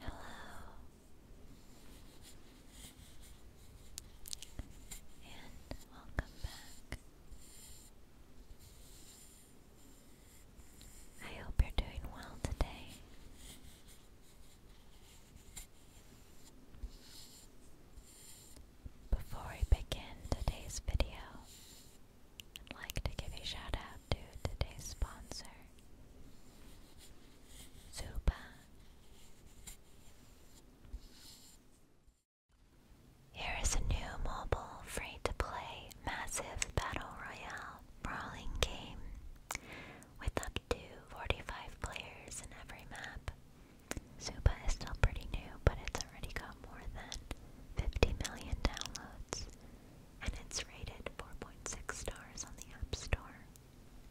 Hello. And welcome back. I hope you're doing well today. Before we begin today's video, I'd like to give a shout out out to today's sponsor, Zuba. Here is a new mobile free to play massive battle royale brawling game with up to 45 players in every map. Zuba is still pretty new, but it's already got more than 50 million downloads and it's rated 4.6 stars on the App Store.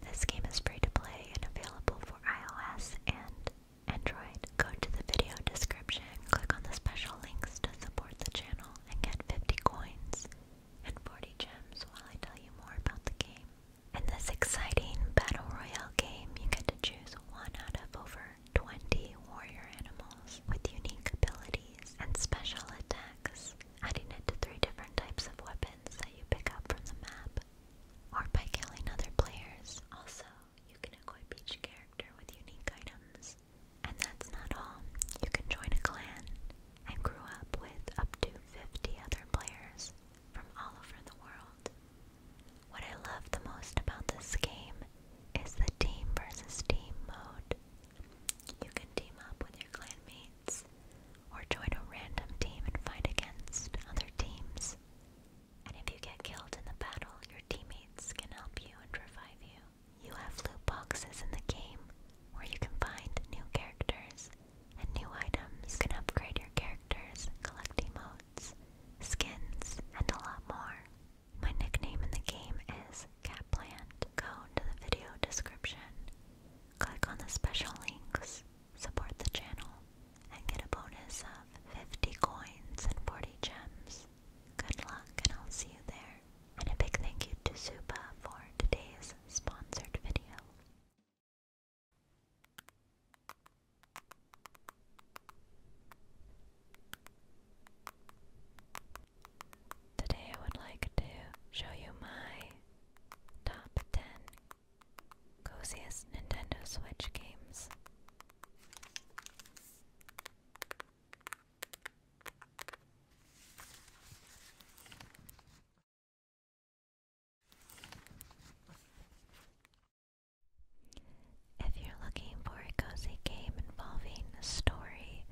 This game is free to play and available for iOS and Android. Go to the video description, click on the special links to support the channel, and get 50 coins and 40 gems while I tell you more about the game. In this exciting battle royale game, you get to choose one out of over 20 warrior animals with unique abilities and special attacks, adding it to three different types of weapons that you pick up from the map, or by killing other players. Also, you can equip each character with unique items. And that's not all. You can join a clan and grow up with up to 50 other players from all over the world. What I love the most about this game is the team versus team mode. You can team up with your clanmates or join a random team and fight against other teams. And if you get killed in the battle, your teammates can help you and revive you. You have loot boxes in the game where you can find new characters and new items. can upgrade your characters, collect emotes, skins, and a lot more. My nickname in the game is Catplant. Go to the video description, click on the special links, support the channel, and get a bonus of 50 coins and 40 gems. Good luck, and I'll see you there. And a big thank you to Supa for today's sponsored video. Today I would like to show you my top 10 coziest Nintendo Switch games. If you're looking for a cozy game involving story,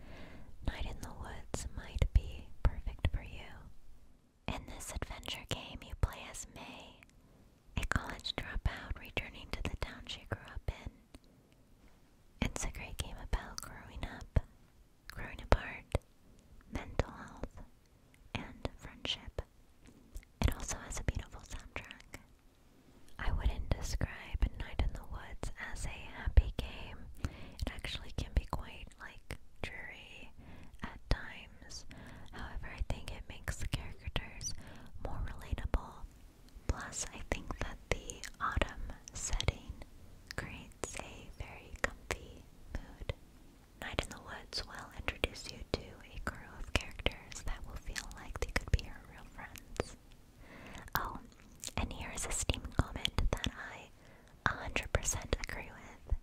Night in the Woods might be perfect for you. In this adventure game, you play as May, a college dropout returning to the town she grew up in. It's a great game about growing up, growing apart, mental health, and friendship. It also has a beautiful soundtrack. I wouldn't describe Night in the Woods as a happy game. It actually can be quite like dreary at times. However, I think it makes the characters more relatable. Plus, I think that the autumn setting creates a very comfy mood. Night in the Woods will introduce you to a crew of characters that will feel like they could be your real friends. Oh, and here is a Steam comment that I 100% agree with.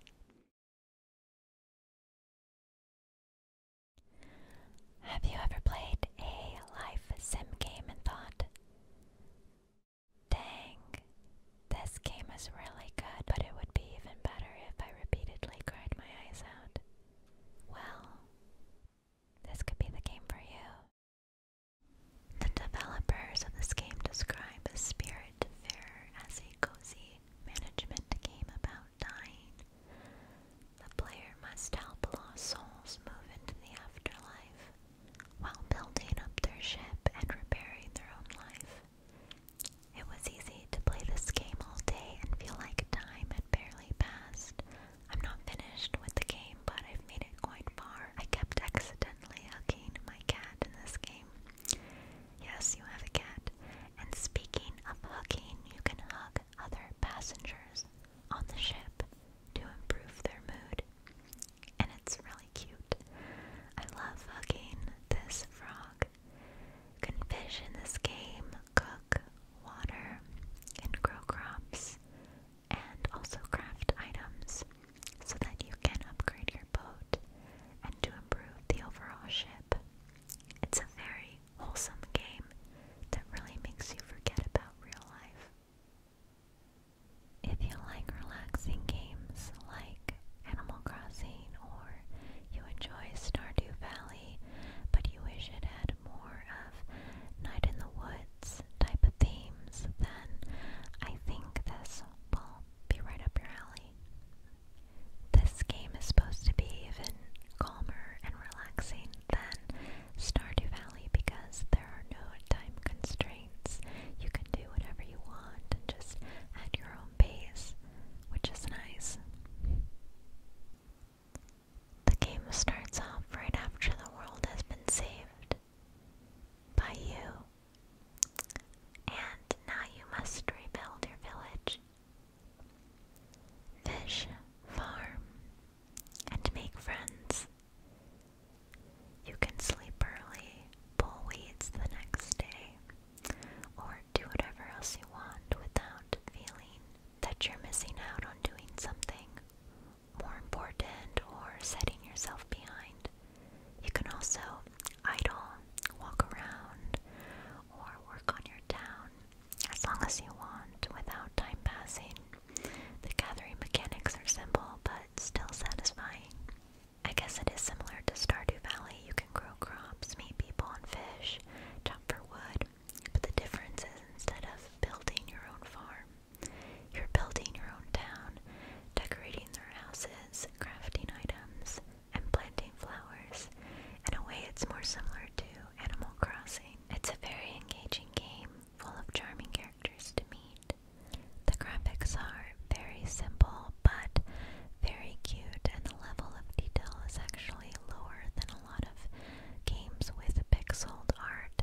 Have you ever played a life sim game and thought, dang, this game is really good, but it would be even better if I repeatedly cried my eyes out? Well, this could be the game for you. The developers of this game describe a spirit fair as a cozy management game about dying. The player must help lost souls move into the afterlife while building up their ship and repairing their own life. It was easy to play this game all day and feel like time had barely passed I'm not finished with the game, but I've made it quite far. I kept accidentally hugging my cat in this game. Yes, you have a cat. And speaking of hugging, you can hug other passengers on the ship to improve their mood. And it's really cute. I love hugging this frog. You can fish in this game, cook water, and grow crops and also craft items so that you can upgrade your boat and to improve the overall ship. It's a very wholesome game that really makes you forget about real life. If you like relaxing games like Animal Crossing or you enjoy Stardew Valley but you wish it had more night in the woods type of themes, then I think this will be right up your alley. This game is supposed to be even calmer and relaxing than Stardew Valley because there are no time constraints. You can do whatever you want and just at your own pace, which is nice. The game starts off right after the world has been saved by you, and now you must rebuild your village, fish, farm, and make friends. You can sleep early, pull weeds the next day, or do whatever else you want without feeling that you're missing out on doing something more important or setting yourself behind. You can also idle, walk around, or work on your town as long as you want without time passing. The gathering mechanics are simple but still satisfying. I guess it is similar to Stardew Valley. You can grow crops, meet people and fish, chop for wood, but the difference is instead of building your own farm, you're building your own town, decorating their houses, crafting items, and planting flowers. In a way, it's more similar to Animal Crossing. It's a very engaging game, full of charming characters to meet. The graphics are very simple, but very cute, and the level of detail is actually lower than a lot of games with pixeled art.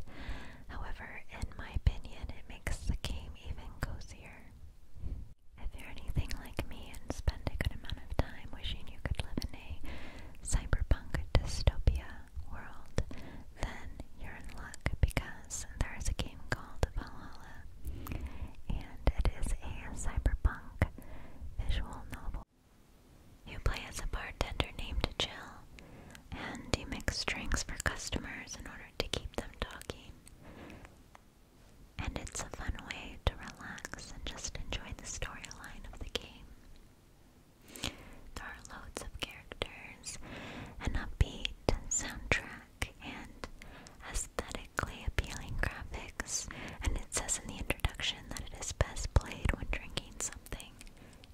However, in my opinion, it makes the game even cozier. If you're anything like me and spend a good amount of time wishing you could live in a cyberpunk dystopia world, then you're in luck because there is a game called Valhalla, and it is a cyberpunk visual novel you play as a bartender named Jill, and you mix drinks for customers in order to keep them talking. And it's a fun way to relax and just enjoy the storyline of the game. There are loads of characters, an upbeat soundtrack, and aesthetically appealing graphics, and it says in the introduction that it is best played when drinking something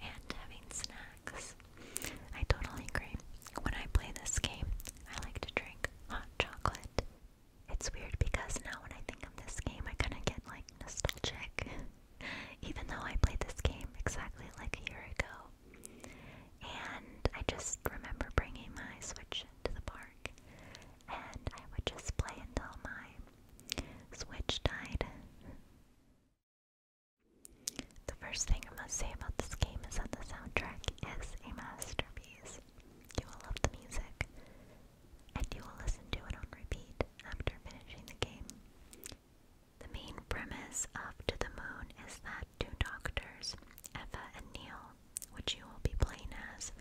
and having snacks. I totally agree. When I play this game, I like to drink hot chocolate. It's weird because now when I think of this game, I kind of get like nostalgic, even though I played this game exactly like a year ago. And I just remember bringing my Switch to the park, and I would just play until my Switch died. The first thing I must say about this game is that the soundtrack is a masterpiece. You will love the music, and you will listen to it on repeat after finishing the game. The main premise of To the Moon is that two doctors, Eva and Neil, which you will be playing as,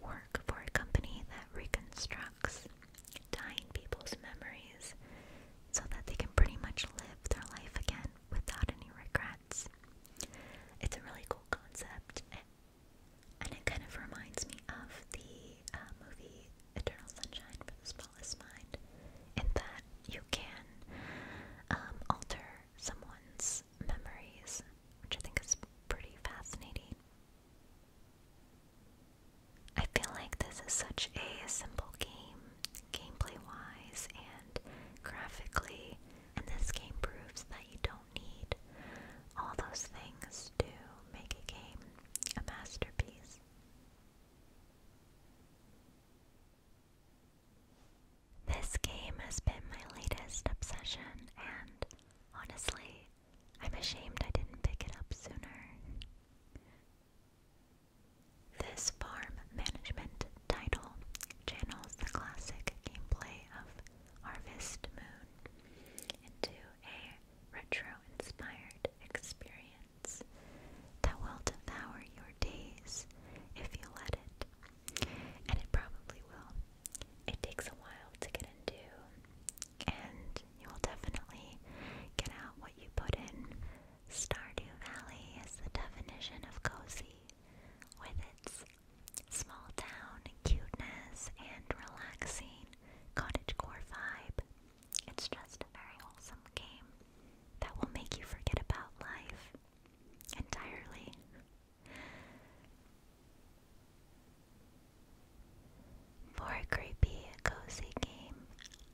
work for a company that reconstructs dying people's memories so that they can pretty much live their life again without any regrets. It's a really cool concept, and it kind of reminds me of the uh, movie Eternal Sunshine for the Spotless Mind, in that you can um, alter someone's memories, which I think is pretty fascinating. I feel like this is such a simple game, gameplay wise and graphically, and this game proves that you don't need all those things to make a game a masterpiece. This game has been my latest obsession, and honestly, I'm ashamed I didn't pick it up sooner. This farm management title channels the classic gameplay of Harvest Moon into a retro inspired experience that will devour your days if you let it. And it probably will. It takes a while to get into, and you will definitely get out what you put in. Stardew Valley is the definition of cozy, with its small town cuteness and relaxing cottagecore vibe. It's just a very wholesome game that will make you forget about life entirely. For a creepy, cozy game,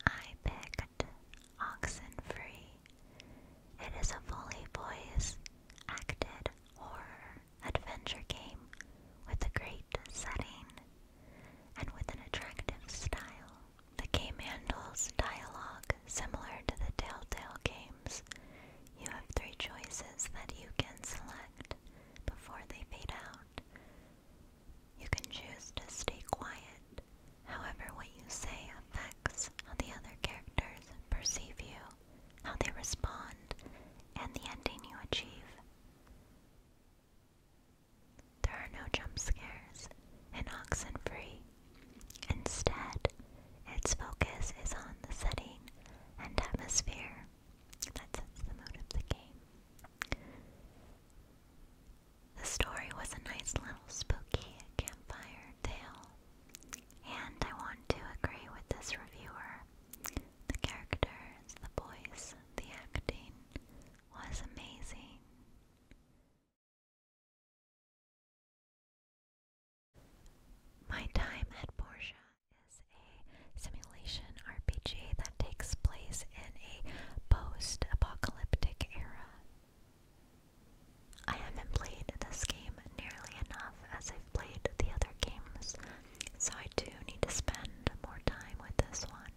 I picked Oxenfree. It is a fully voice acted horror adventure game with a great setting and with an attractive style. The game handles dialogue similar to the Telltale games. You have three choices that you can select before they fade out. You can choose to stay quiet. However, what you say affects how the other characters perceive you, how they respond, and the ending you achieve. There are no jump scares and oxygen-free. Instead, its focus is on the setting and atmosphere that sets the mood of the game. The story was a nice little spooky campfire tale, and I want to agree with this reviewer. The characters, the voice, the acting was amazing. My time at Porsche is a simulation RPG that takes place in a post apocalyptic era. I haven't played this game nearly enough as I've played the other games, so I do need to spend more time with this one.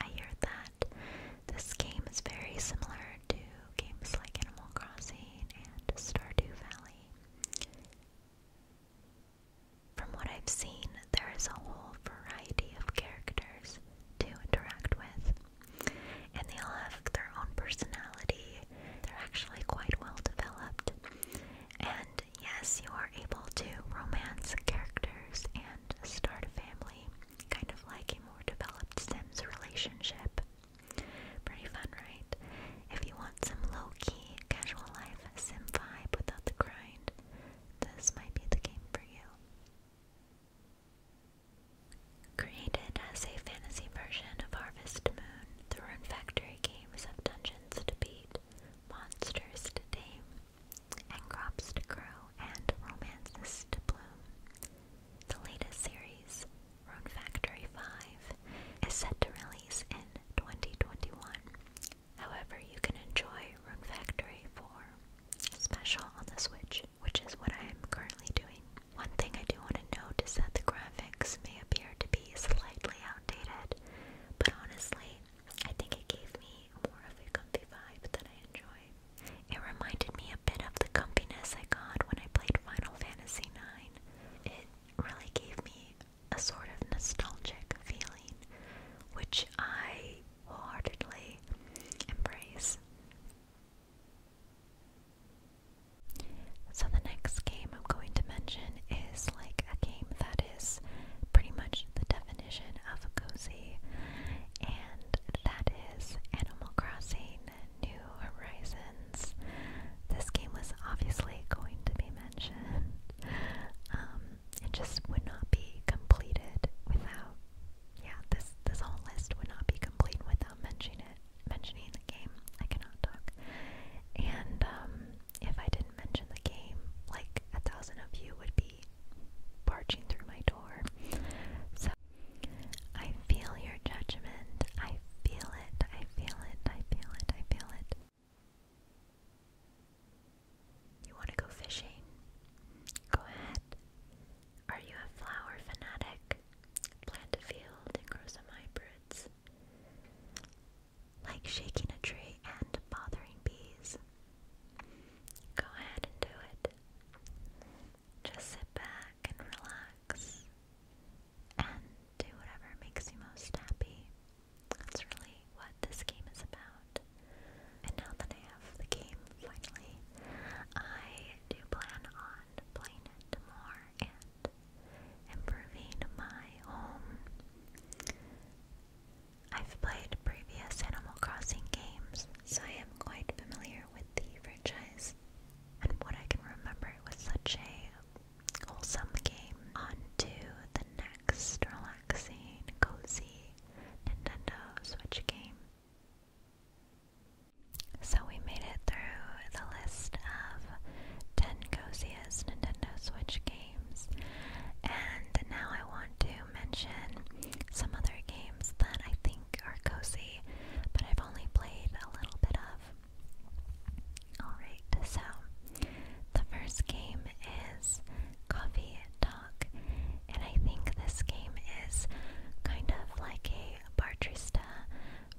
I hear that this game is very similar to games like Animal Crossing and Stardew Valley. From what I've seen, there is a whole variety of characters to interact with, and they all have their own personality. They're actually quite well developed. And yes, you are able to romance characters and start a family, kind of like a more developed Sims relationship. Pretty fun, right? If you want some low key, casual life Sim vibe without the grind, this might be the game for you. Created as a fantasy version of Harvest Moon, the Rune Factory games have dungeons to beat, monsters to tame, and crops to grow, and romances to bloom. The latest series, Rune Factory 5, is set to release in 2021 However, you can enjoy Rune Factory 4 Special on the Switch, which is what I am currently doing. One thing I do want to note is that the graphics may appear to be slightly outdated, but honestly, I think it gave me more of a comfy vibe that I enjoy. It reminded me a bit of the comfiness I got when I played Final Fantasy IX. It really gave me a sort of nostalgic feeling, which I wholeheartedly embrace. So, the next game I'm going to mention is like a game that is pretty much the definition of cozy, and that is Animal Crossing New Horizons. This game was obviously going to be mentioned. Um, it just would not be completed without yeah, this this whole list would not be complete without mentioning it mentioning the game. I cannot talk. And um, if I didn't mention the game, like a thousand of you would be barging through my door. So I feel your judgment. I feel it. I feel it. I feel it. I feel it. You want to go fishing? Go ahead. Are you a flower fanatic? Plant a field and grow some hybrids. Like shaking a tree and bothering bees. Go ahead and do it. Just sit back and relax and do whatever makes you most happy. That's really what this game is about. And now that I have the game finally, I do plan on playing it more and improving my home. I've played previous Animal Crossing games, so I am quite familiar with the franchise and what I can remember. was such a wholesome game. On to the next relaxing, cozy Nintendo Switch game. So we made it through the list of 10 coziest Nintendo Switch games, and now I want to mention some other games that I think are cozy, but I've only played a little bit of. Alright, so the first game is Coffee Talk, and I think this game is kind of like a Bartrista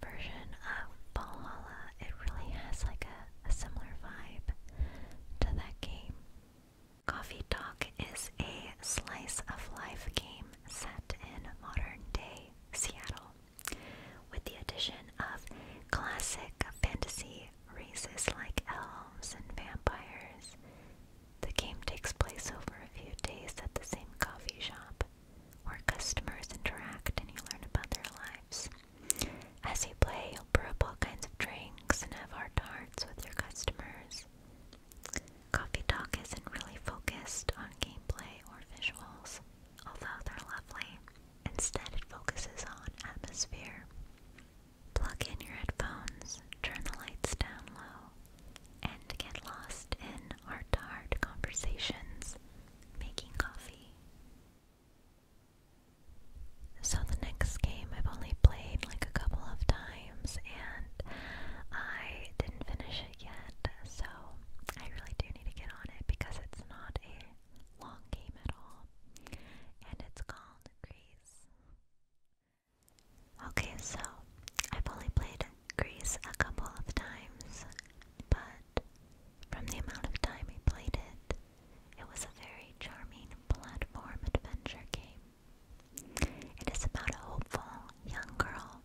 version of Valhalla. It really has like a similar vibe to that game. Coffee Talk is a slice of life game set in modern day Seattle with the addition of classic fantasy races like elves and vampires. The game takes place over a few days at the same coffee shop, where customers interact and you learn about their lives. As you play, you'll brew up all kinds of drinks and have heart to hearts with your customers. Coffee Talk isn't really focused on gameplay or visuals, although they're lovely. Instead, it focuses on atmosphere. Plug in your headphones, turn the lights down low, and get lost in heart to heart conversations making coffee. So, the next game I've only played like a couple of times and I didn't finish it yet, so I really do need to get on it because it's not a long game at all and it's called Grease. Okay, so I've only played Grease a couple of times, but from the amount of time I played it, it was a very charming platform adventure game. It is about a hopeful young girl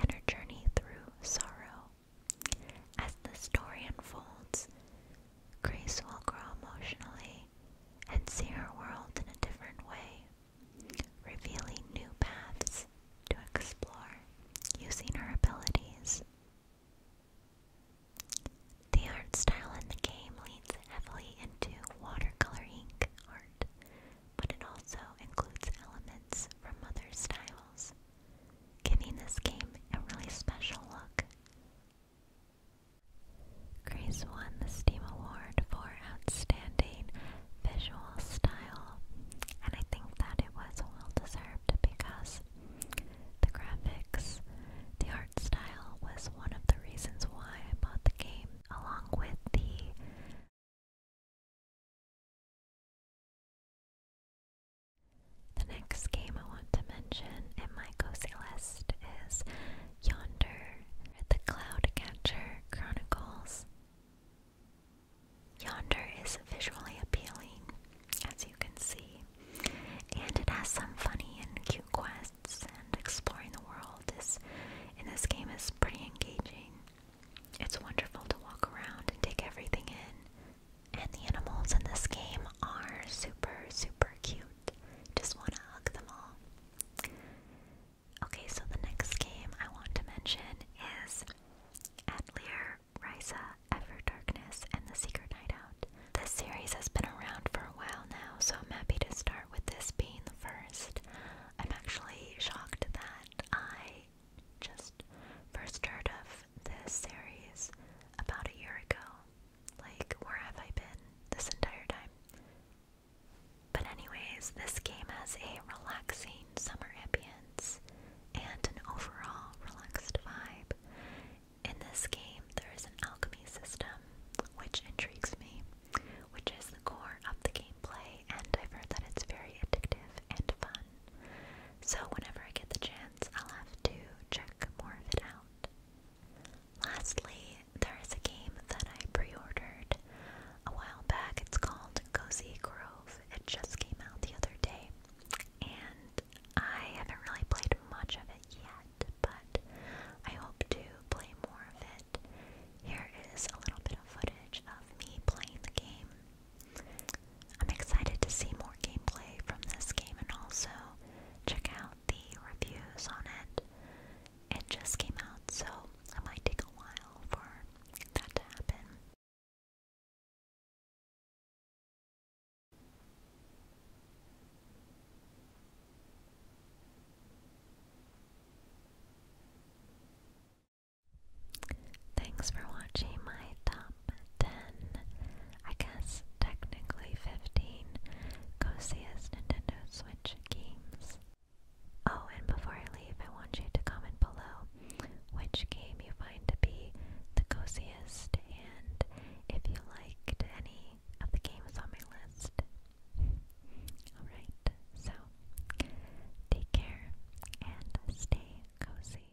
and her journey through sorrow. As the story unfolds, Grace will grow emotionally and see her world in a different way, revealing new paths to explore using her abilities. The art style in the game leans heavily into watercolor ink art, but it also includes elements from other styles, giving this game a really special look Grace won the STEAM Award for Outstanding Visual Style, and I think that it was well deserved because the graphics, the art style, was one of the reasons why I bought the game, along with the the next game I want to mention in my cozy list is Yonder, the Cloudcatcher Chronicles. Yonder is visually appealing, as you can see, and it has some funny and cute quests, and exploring the world in this game is pretty engaging. It's wonderful to walk around and take everything in. And the animals in this game are super, super cute. Just want to hug them all. Okay, so the next game I want to mention is Atelier Risa Ever Darkness and the Secret Night Out. This series has been around for a while now, so I'm happy to start with this being the first. I'm actually shocked that I just first heard of this series about a year ago. Like, where have I been this entire time? But, anyways, this game has a relaxing summer ambience and an overall relaxed vibe. In this game, there is an alchemy system, which intrigues me, which is the core of the gameplay, and I've heard that it's very addictive and fun. So whenever I get the chance, I'll have to check more of it out. Lastly, there is a game that I pre-ordered a while back. It's called Cozy Grove. It just came out the other day, and I haven't really played much of it yet, but I hope to play more of it. Here is a little bit of footage of me playing the game. I'm excited to see more gameplay from this game and also check out the reviews on it. It just came out, so it might take a while for that to happen. Thanks for watching my top 10, I guess technically 15 Cosia's Nintendo Switch games. Oh, and before I leave, I want you to comment below which game you find to be the cosiest and if you liked any of the games on my list. Alright, so take care and stay cozy.